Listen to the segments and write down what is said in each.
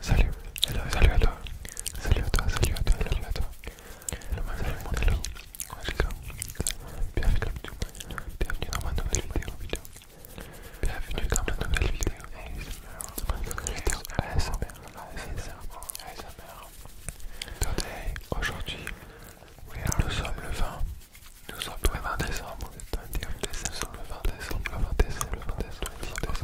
Salut, hello, salut à toi, salut à toi, salut à toi, salut à toi. Hello, mon hello, bienvenue bienvenue dans ma nouvelle vidéo, vidéo. bienvenue dans ma nouvelle vidéo, ASMR, ASMR, Today, aujourd'hui, nous sommes le 20, nous sommes le 20 décembre, le 20 décembre, le 20 décembre, le 20 décembre, le 20 décembre.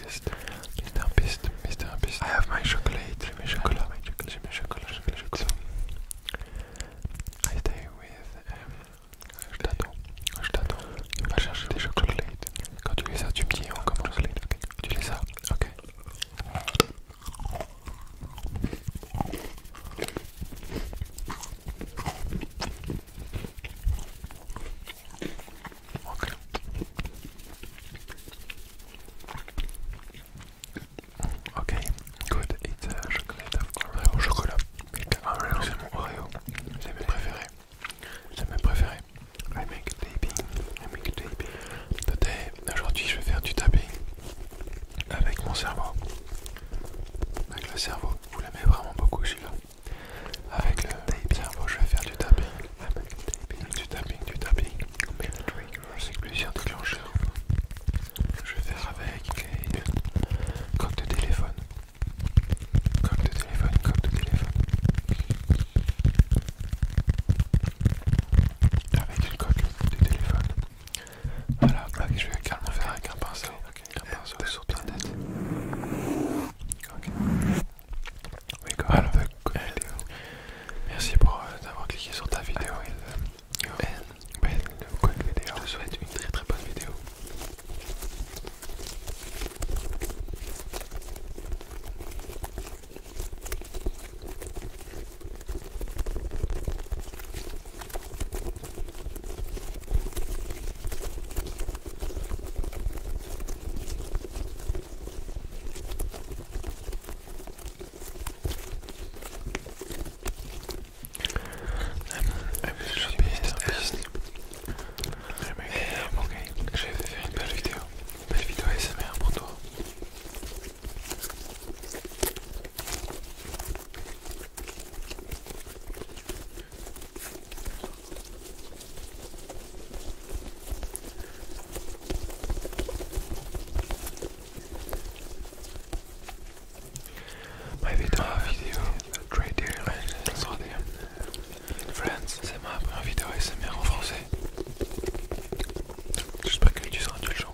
Beast, Mr. Beast, Mr. Beast. I have my chocolate. J'ai mes chocolats, mes chocolats, J'ai mes chocolats, j'ai mes chocolats. I stay with. Um, je t'attends, je t'attends. vas chercher des chocolats. Quand tu lis ça, tu me dis on commence. Okay. Tu lis ça, ok. Ok. Ok, good. It's uh, chocolate Oreo chocolat. Oreo, c'est mon Oreo. C'est mes préférés. C'est mes préférés. I make tapping. I make tapping. Today, aujourd'hui, je vais faire du tapping avec mon cerveau. Avec le cerveau. Vous l'aimez vraiment beaucoup celui-là. Avec le tapis, je vais faire du tapping. Du tapping, du tapping. Avec plusieurs déclencheurs. Je vais faire avec une coque de téléphone. Coque de téléphone, coque de téléphone. Avec une coque de téléphone. Voilà, ah, je vais calmement faire avec un pinceau. Okay, and also the planet. Okay. We got Alors, the good euh, Merci pour euh, d'avoir cliqué sur ta vidéo. Belle bonne vidéo. Je te souhaite une très très bonne vidéo. Je vais faire une belle vidéo, belle vidéo ASMR pour toi. My vidéo, vidéo, Friends, c'est ma première vidéo en français. J'espère que tu seras indulgent.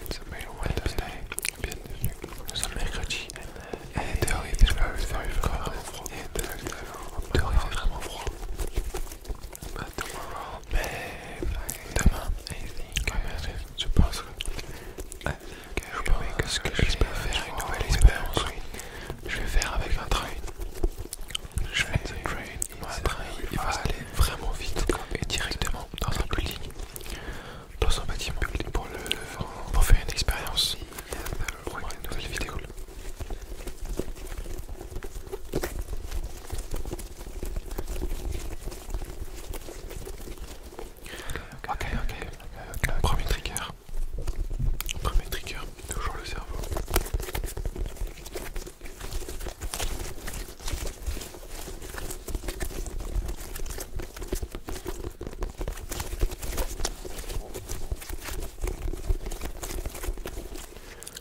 nous sommes mercredi et dehors il fait il fait vraiment froid mais demain je pense que je que je faire une nouvelle expérience je vais faire avec un train je vais train bah, il, va aller vraiment vite et directement dans un building, dans un bâtiment pour, le, faire une expérience. une nouvelle vidéo. Ok, ok, premier trigger. Premier trigger, toujours le cerveau.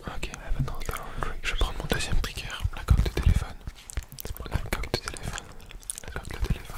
Ok, je vais prendre mon deuxième trigger, la coque de téléphone. La coque de téléphone. La coque de téléphone.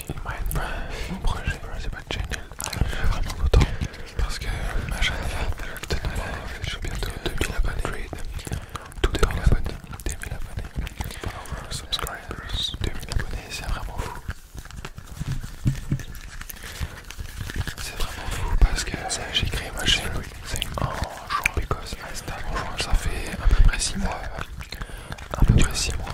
mon projet, c'est pas de channel. Je suis vraiment content parce que ma chaîne je suis bientôt 2000 abonnés. Tout 2000 abonnés, 2000 abonnés, followers, subscribers, 2000 abonnés, c'est vraiment fou. C'est vraiment fou parce que j'ai créé ma chaîne en jouant Because ça fait à peu près 6 mois. À peu près 6 mois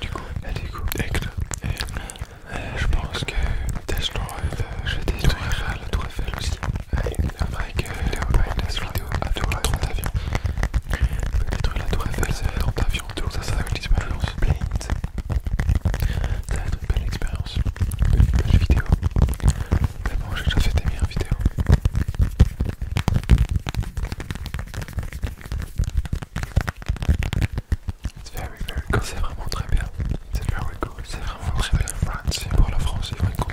du coup, et bah, du coup, je pense que Tesla, je vais détruire la tour Eiffel aussi. Après que la vidéo a détruit 30 avions, je détruit détruire la tour Eiffel, c'est 30 avions, tout ça, ça va être l'expérience. Ça va être une belle expérience, une belle vidéo. Mais bon, j'ai déjà fait des meilleures vidéos. C'est vraiment très bien. C'est very cool. C'est vraiment très bien. France, pour la France, C'est vraiment être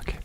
Ok,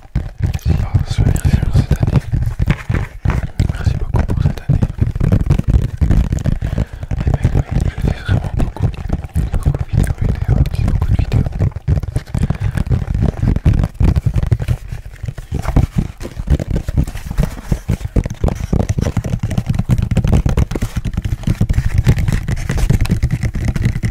Merci ce cette année. Merci beaucoup pour cette année. Et eh mec, ben, je fais vraiment beaucoup, beaucoup de vidéos, vidéos, beaucoup de vidéos.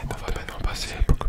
On va maintenant passer beaucoup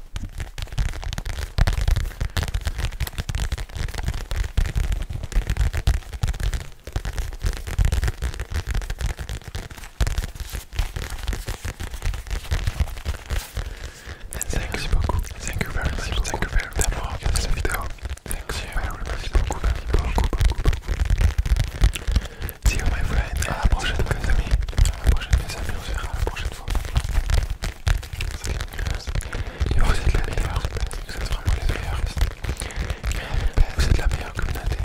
Merci beaucoup. Thank you very much. Thank you very much for regardé cette vidéo. Merci beaucoup, merci beaucoup, beaucoup, beaucoup. See you my friend. À la prochaine, mes amis. À la prochaine, mes amis. On se verra à la prochaine vous êtes la meilleure. Vous Vous êtes la meilleure communauté.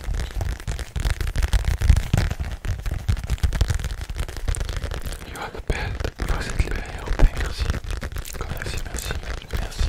You Vous êtes Merci. Merci, merci, merci.